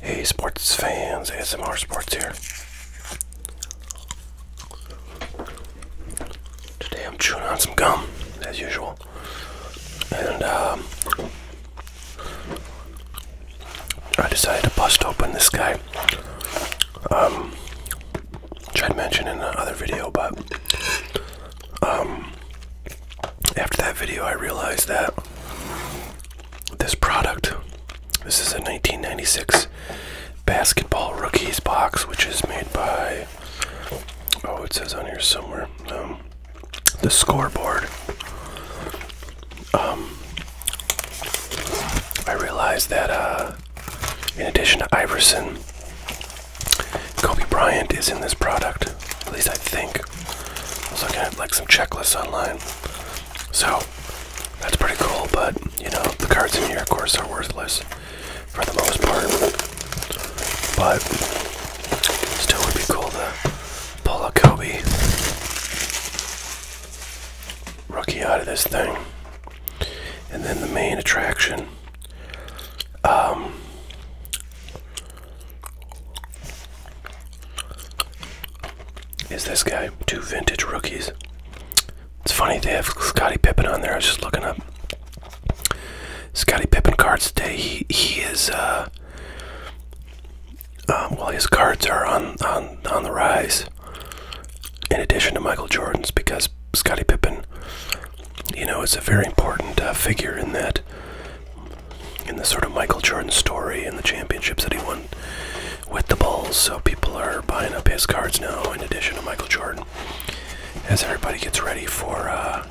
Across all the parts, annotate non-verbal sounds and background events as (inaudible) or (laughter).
Hey sports fans, ASMR Sports here. Today I'm chewing on some gum, as usual. And um, I decided to bust open this guy. Um, tried mentioning in the other video, but um, after that video I realized that this product. This is a 1996 basketball rookies box, which is made by. Oh, it says on here somewhere. Um, the scoreboard. Um, I realize that uh, in addition to Iverson, Kobe Bryant is in this product. At least I think week. I was looking at like some checklists online. So that's pretty cool, but you know, the cards in here of course are worthless for the most part. But still would be cool to pull a Kobe rookie out of this thing. And then the main attraction. Um, is this guy. Two vintage rookies. It's funny they have Scottie Pippen on there. I was just looking up Scottie Pippen cards today. He he is uh, um, well his cards are on on on the rise. In addition to Michael Jordan's, because Scottie Pippen, you know, is a very important uh, figure in that in the sort of Michael Jordan story and the championships that he won with the Bulls. So people are buying up his cards now, in addition to Michael Jordan, as everybody gets ready for uh,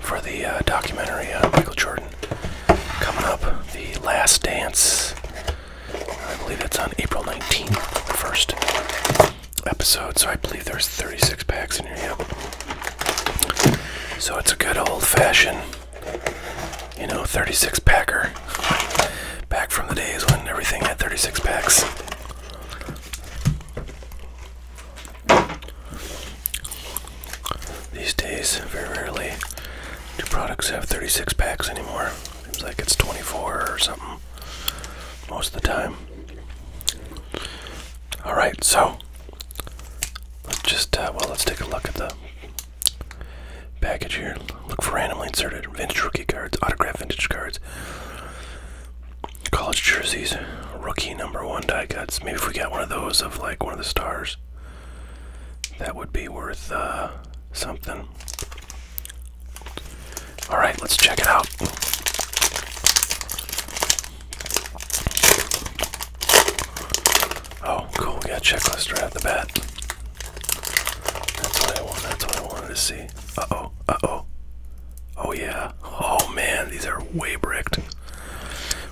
for the uh, documentary on Michael Jordan coming up, The Last Dance. I believe it's on April 19th, the first episode. So I believe there's 36 packs in your Yep. So it's a good old-fashioned, you know, 36 packer. Back from the days when everything had 36 packs. These days, very rarely do products have 36 packs anymore. Seems like it's 24 or something most of the time. Alright, so Let's just, uh, well, let's take a look at the package here. Look for randomly inserted vintage rookie cards, autograph vintage cards, college jerseys, rookie number one die cuts. Maybe if we got one of those of like one of the stars, that would be worth uh, something. All right, let's check it out. Oh, cool, we got a checklist right at the bat. That's what I wanted to see. Uh-oh, uh-oh. Oh yeah. Oh man, these are way bricked.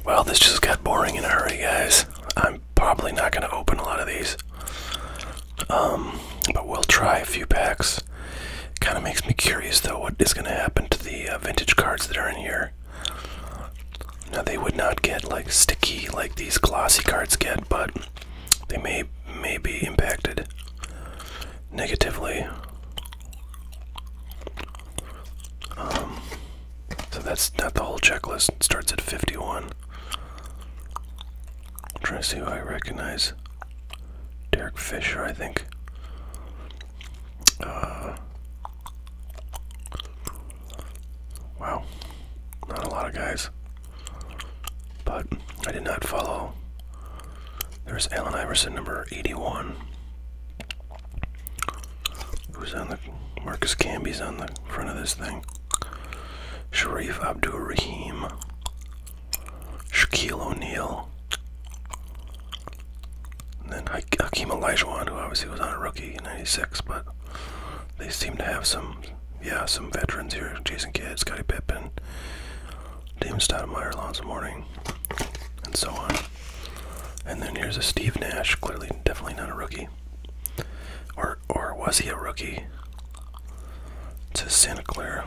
Well, this just got boring in a hurry, guys. I'm probably not gonna open a lot of these. Um, but we'll try a few packs. Kind of makes me curious though what is going to happen to the uh, vintage cards that are in here. Now they would not get like sticky like these glossy cards get, but they may may be impacted negatively. Um, so that's not the whole checklist. starts at 51. I'm trying to see who I recognize. Derek Fisher, I think. Uh, wow, not a lot of guys. But I did not follow. There's Allen Iverson, number 81, who's on the Marcus Camby's on the front of this thing. Sharif Abdul Rahim, Shaquille O'Neal, and then Hakeem Olajuwon, who obviously was on a rookie in '96, but they seem to have some, yeah, some veterans here: Jason Kidd, Scottie Pippen, Damon Stoudemire, Alonzo Mourning, and so on. And then here's a Steve Nash, clearly, definitely not a rookie, or or was he a rookie? To Santa Clara.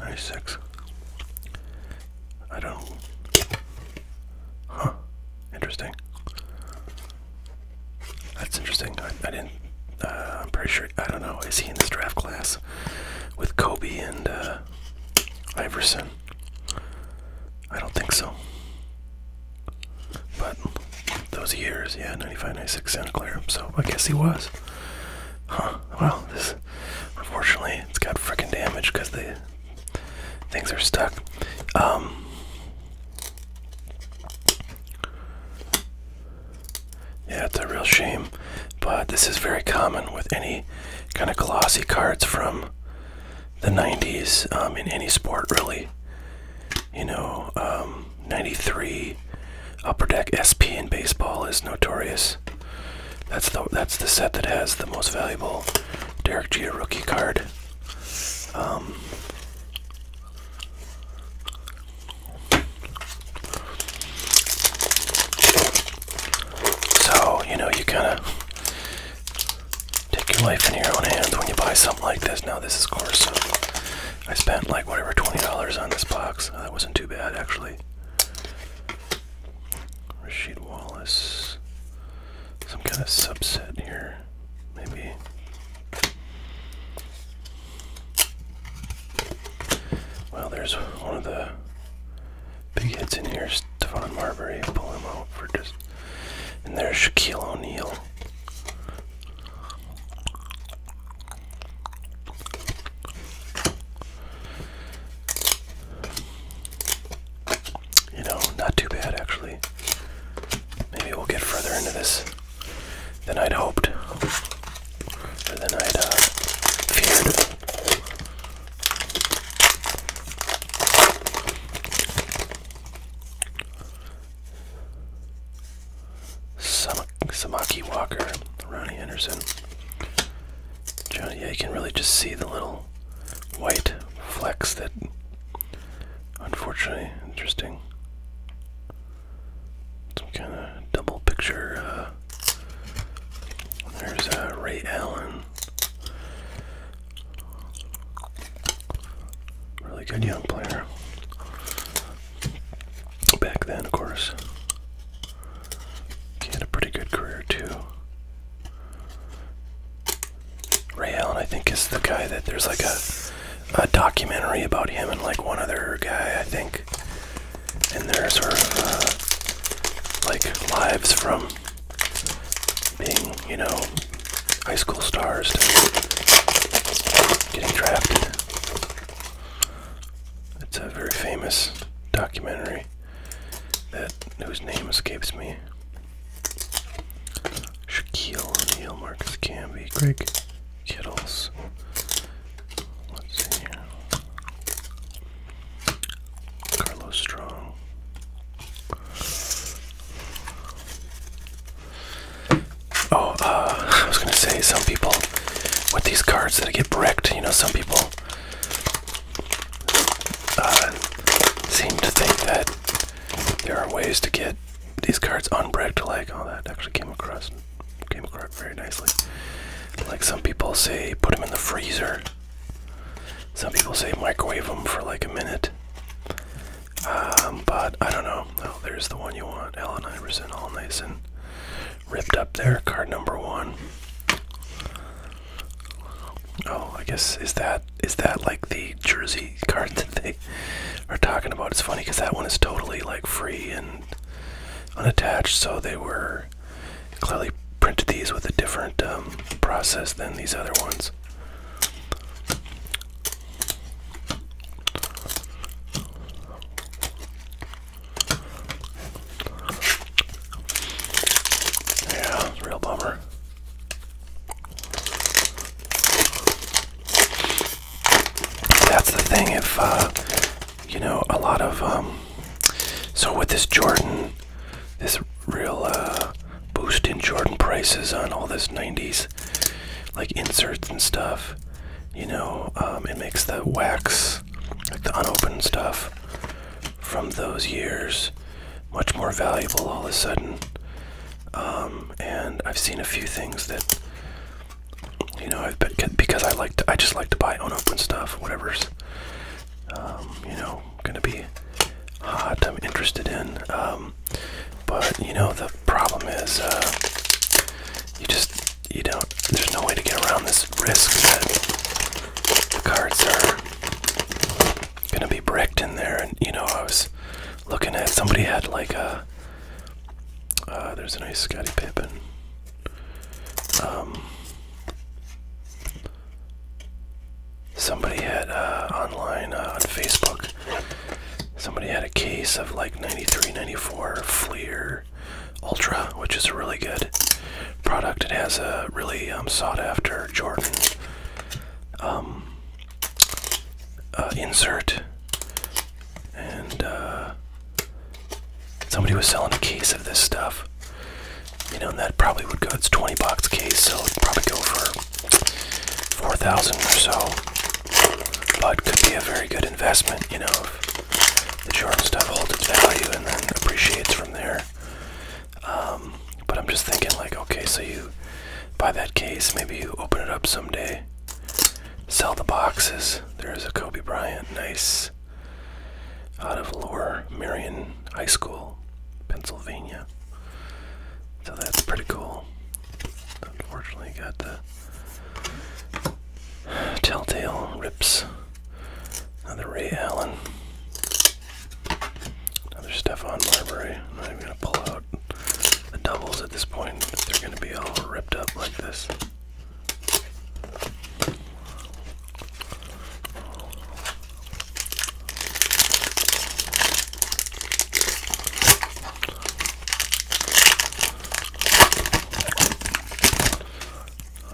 96. I don't. Huh. Interesting. That's interesting. I, I didn't. Uh, I'm pretty sure. I don't know. Is he in this draft class with Kobe and uh, Iverson? I don't think so. But those years, yeah, 95, 96, Santa Clara. So I guess he was. Huh. Well, Unfortunately, it's got freaking damage because the things are stuck. Um, yeah, it's a real shame, but this is very common with any kind of glossy cards from the 90s um, in any sport, really. You know, um, 93 Upper Deck SP in baseball is notorious. That's the that's the set that has the most valuable Derek Jeter rookie card. Um, so you know you kind of take your life in your own hands when you buy something like this. Now this is course. I spent like whatever twenty dollars on this box. That wasn't too bad actually. Rashid Wallace. Some kind of subset here, maybe. Well, there's one of the big hits in here. Stephon Marbury, pull him out for just. And there's Shaquille O'Neal. You know, not too bad actually. Maybe we'll get further into this than I'd hoped, or than I'd uh, feared. Samaki Walker, Ronnie Anderson yeah, you can really just see the little white flecks that, unfortunately, interesting. Some kind of double picture. Uh, there's uh, Ray Allen. Really good young player. Back then, of course. He had a pretty good career too. Ray Allen, I think, is the guy that there's like a, a documentary about him and like one other guy, I think. And they sort of uh, like lives from being, you know, high school stars to getting drafted. It's a very famous documentary that whose name escapes me. Shaquille O'Neal, Marcus Camby, Greg Kittles. Let's see here. Carlos Strong. Oh, uh, I was gonna say some people with these cards that get bricked, you know, some people seem to think that there are ways to get these cards unbricked like all oh, that actually came across came across very nicely like some people say put them in the freezer some people say microwave them for like a minute um, but I don't know oh there's the one you want Allen Iverson all nice and ripped up there, card number one. Oh, I guess is that is that like the jersey (laughs) card that they are talking about? It's funny because that one is totally like free and unattached, so they were clearly printed these with a different um, process than these other ones. Yeah, it's real bummer. That's the thing. If uh, you know, a lot of um, so with this Jordan, this real uh, boost in Jordan prices on all this '90s like inserts and stuff. You know, um, it makes the wax, like the unopened stuff, from those years much more valuable all of a sudden. Um, and I've seen a few things that, you know, because I like to, I just like to buy unopened stuff, whatever's, um, you know, gonna be hot. I'm interested in, um, but you know, the problem is, uh, you just you don't, there's no way to get around this risk that the cards are gonna be bricked in there. And you know, I was looking at somebody had like a, uh, there's a nice Scotty Pippen. Um, somebody had uh, online uh, on Facebook. Somebody had a case of like 93, 94 Fleer Ultra, which is a really good product. It has a really um, sought-after Jordan um, uh, insert, and uh, somebody was selling a case of this stuff. You know, and that probably would go. It's 20 box case, so it probably go for 4,000 or so, but could be a very good investment. You know, the short stuff holds its value and then appreciates from there. Um, but I'm just thinking, like, okay, so you buy that case, maybe you open it up someday, sell the boxes. There's a Kobe Bryant, nice, out of lore, Marion High School, Pennsylvania. So that's pretty cool. Unfortunately, got the telltale rips Another Ray Allen. Another Stefan Marbury. I'm going to pull out the doubles at this point. They're going to be all ripped up like this.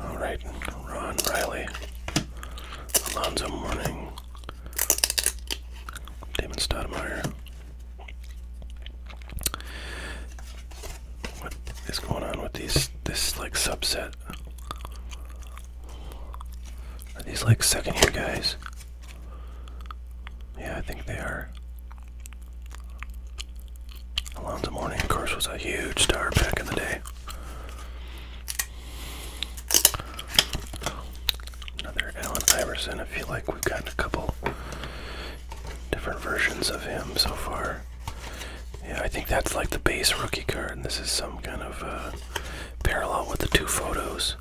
All right, Ron Riley, Alonzo Mourning, Damon Stoudemire. What is going on with these? This like subset? Are these like second-year guys? Yeah, I think they are. Alonzo Mourning, of course, was a huge star back in the day. Another Allen Iverson. I feel like we've gotten a couple different versions of him so far. Yeah, I think that's like the base rookie card, and this is some kind of uh, parallel with the two photos.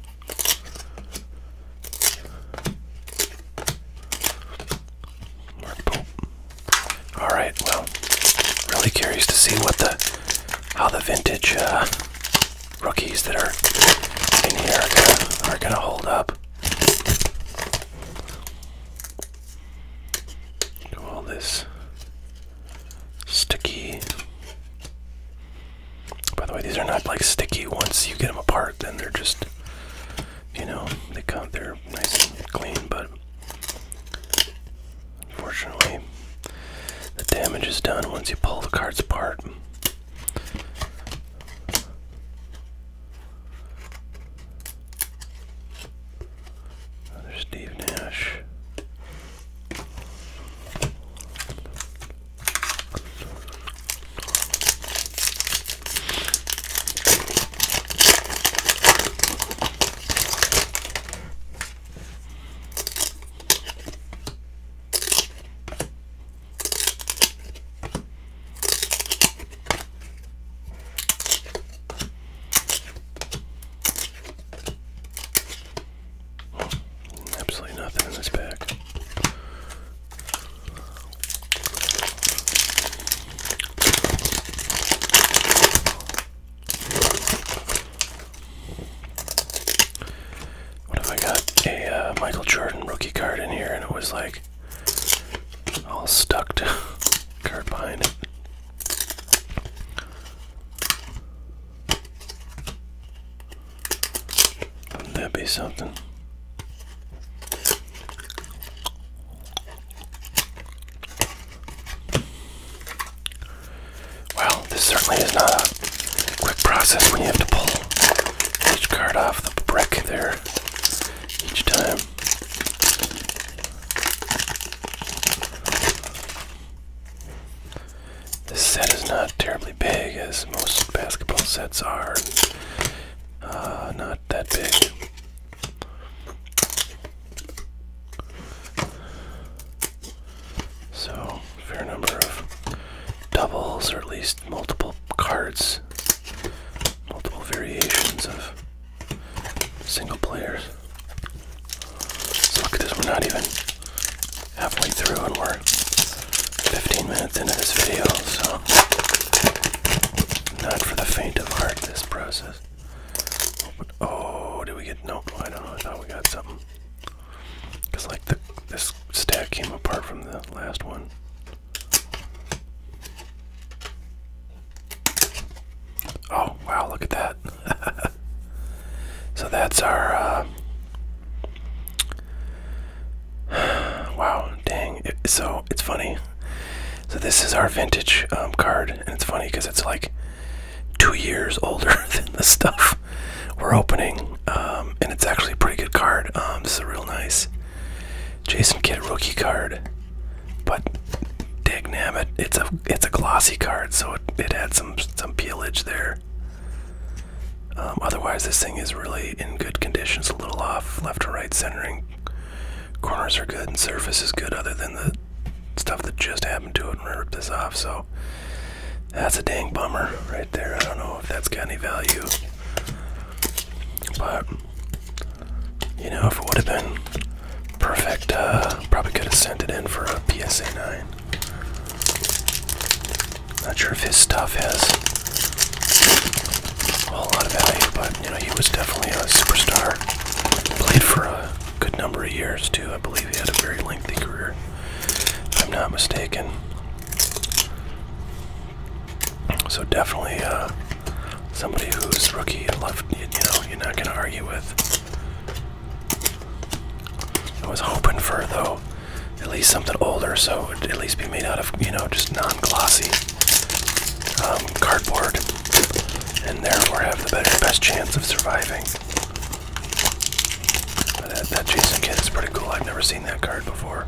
All right. Well, really curious to see what the how the vintage uh, rookies that are in here are gonna, are gonna hold up. all this sticky. By the way, these are not like sticky. Once you get them apart, then they're just you know they come. They're nice and clean, but Unfortunately, the damage is done once you pull the cards apart. There's Steve Nash. Absolutely nothing in this bag. What if I got a uh, Michael Jordan rookie card in here and it was like all stuck to (laughs) card behind it? Wouldn't that be something? Well, this certainly is not a quick process when have to pull each card off the brick there each time. This set is not terribly big, as most basketball sets are. Uh, not that big. So, fair number of doubles, or at least multiple cards, multiple variations of single players. look at this, we're not even halfway through, and we're 15 minutes into this video, so not for the faint of heart, this process. Oh, did we get? Nope. I don't know. I thought we got something. Cause like the this stack came apart from the last one. Oh wow! Look at that. (laughs) so that's our. Uh, (sighs) wow, dang. so it's funny. So this is our vintage um, card, and it's funny because it's like two years (laughs) older than the stuff we're opening, um, and it's actually a pretty good card. Um, it's a real nice Jason Kidd rookie card, but dig it, it's a it's a glossy card, so it, it had some some peelage there. otherwise, this thing is really in good condition. It's a little off left or right centering, corners are good and surface is good other than the stuff that just happened to it when I ripped this off. So that's a dang bummer right there. I don't know if that's got any value. But, you know, if it would have been perfect, uh, probably could have sent it in for a PSA 9. Not sure if his stuff has a whole lot of value, but you know, he was definitely a superstar. Played for a good number of years, too. I believe he had a very lengthy career, if I'm not mistaken. So, definitely uh, somebody who's rookie left, you, know, you're not going to argue with. I was hoping for, though, at least something older, so it would at least be made out of, you know, just not glossy um, cardboard, and therefore have the best chance of surviving. that, Jason Kidd is pretty cool. I've never seen that card before.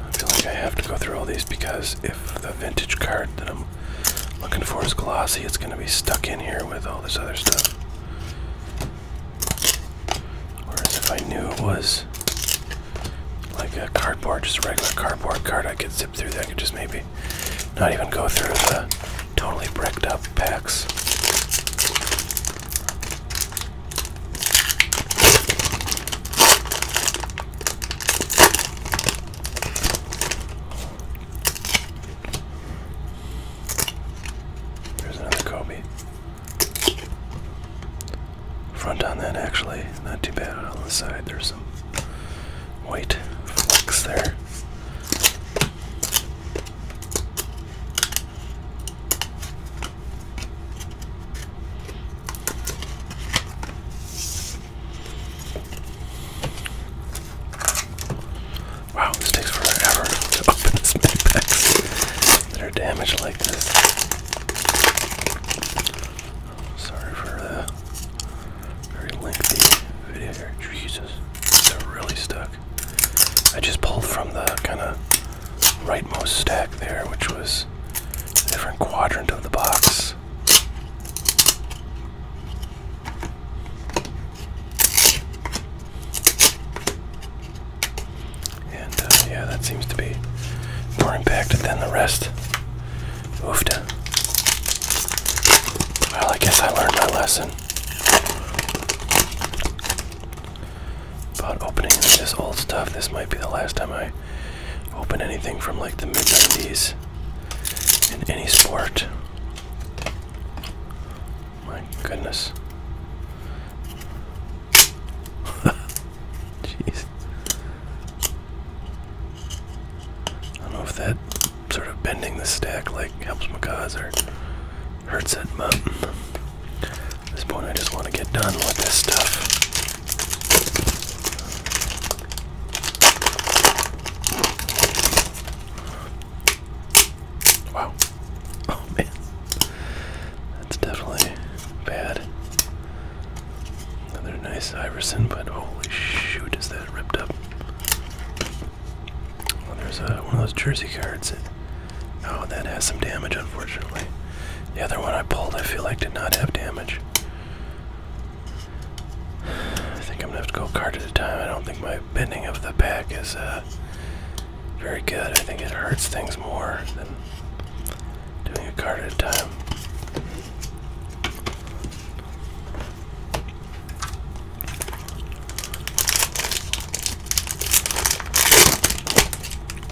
I feel like I have to go through all these because if the vintage card that I'm looking for is glossy, it's going to be stuck in here with all this other stuff. Whereas if I knew it was like a cardboard, just a regular cardboard card, I could zip through that. I could just maybe not even go through the totally bricked up packs. There's another Kobe. Front on that actually, not too bad on the side. There's some white flecks there. Wow, this takes forever to open this many packs that are damaged like this. Sorry for the very lengthy video here. Jesus, they're really stuck. I just pulled from the kind of rightmost stack there, which was a different quadrant of the box. And uh, yeah, that seems to be more impacted than the rest. Oofed. Well, I guess I learned my lesson. But opening this old stuff. This might be the last time I open anything from like the mid 90s in any sport. My goodness. (laughs) Jeez. I don't know if that sort of bending the stack like helps my cause or hurts it, but at this point I just want to get done with this stuff. Wow. Oh man. That's definitely bad. Another nice Iverson, but holy shoot, is that ripped up? there's uh, one of those jersey cards. Oh, that has some damage, unfortunately. The other one I pulled, I feel like, did not have damage. I think I'm gonna have to go card at a time. I don't think my bending of the pack is uh, very good. I think it hurts things more than doing a card at a time.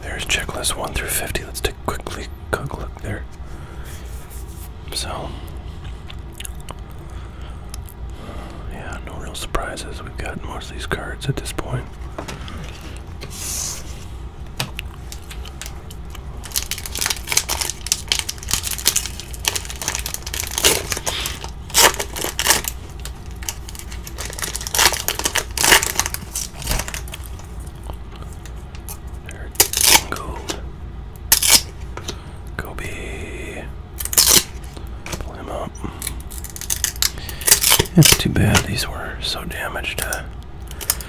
There's checklist 1 through 50. Let's take quickly quick look there. So, yeah, no real surprises. We've got most of these cards at this point. They're gold. Kobe. Pull him up. It's too bad these were so damaged. Uh,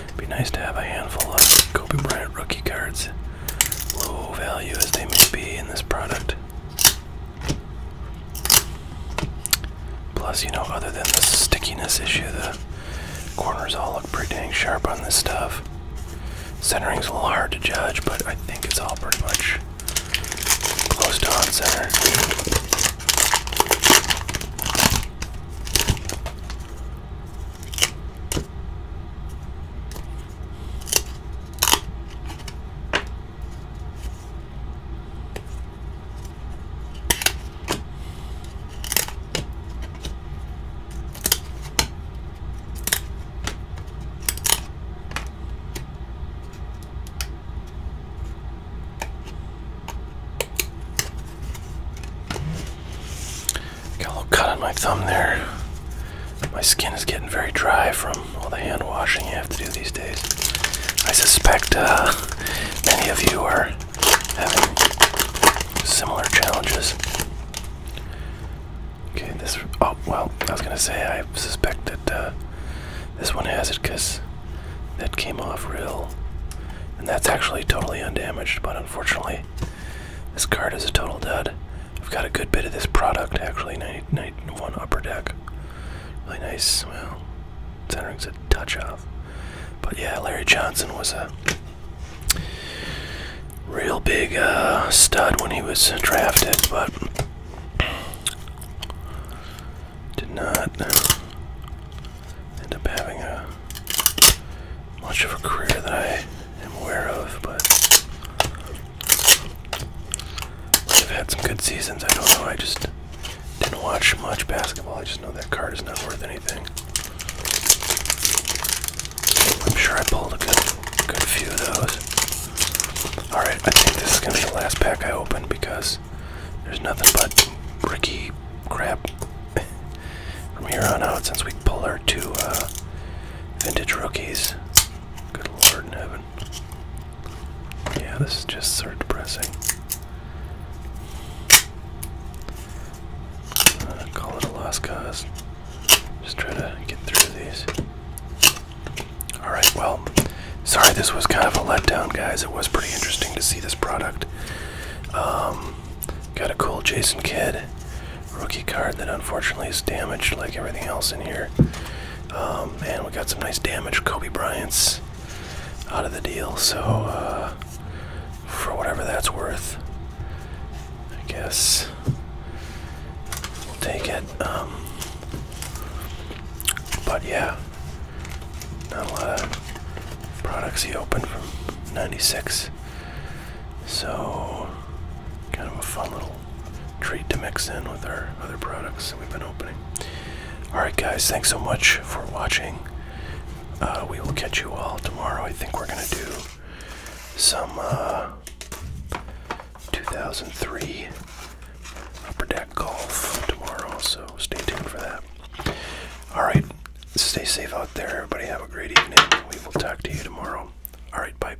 it'd be nice to have a handful of Kobe Bryant rookie cards, low value as they may be in this product. Plus, you know, other than the stickiness issue, the corners all look pretty dang sharp on this stuff. Centering's a little hard to judge, but I think it's all pretty much close to on center. Got a little cut on my thumb there. My skin is getting very dry from all the hand washing you have to do these days. I suspect uh, many of you are having similar challenges. Okay, this. Oh, well, I was gonna say, I suspect that uh, this one has it because that came off real. And that's actually totally undamaged, but unfortunately, this card is a total dud. I've got a good bit of this product actually. 91 upper deck. Really nice. Well, centering's a touch off. But yeah, Larry Johnson was a real big uh, stud when he was drafted, but did not end up having a uh, much of a career that I am aware of. But i have had some good seasons. I don't know. I just didn't watch much basketball. I just know that card is not worth anything. I'm sure I pulled a good, good few of those. Alright, I think this is going to be the last pack I open because there's nothing but Ricky crap (laughs) from here on out since we pulled our two uh, vintage rookies. Good lord in heaven. Yeah, this is just so depressing. Uh, call it a lost cause. Just try to get through these. Alright, well, sorry this was kind of a letdown, guys. It was pretty interesting to see this product. Um, got a cool Jason kid rookie card that unfortunately is damaged like everything else in here. Um, and we got some nice damage Kobe Bryant's out of the deal, so uh, for whatever that's worth, I guess we'll take it. Um, but yeah, not a lot of products he opened from 96. So, kind of a fun little treat to mix in with our other products that we've been opening. Alright, guys, thanks so much for watching. Uh, we will catch you all tomorrow. I think we're going to do some uh, 2003 Upper Deck Golf tomorrow, so stay tuned for that. Alright, stay safe out there. Everybody have a great evening. We will talk to you tomorrow. Alright, bye.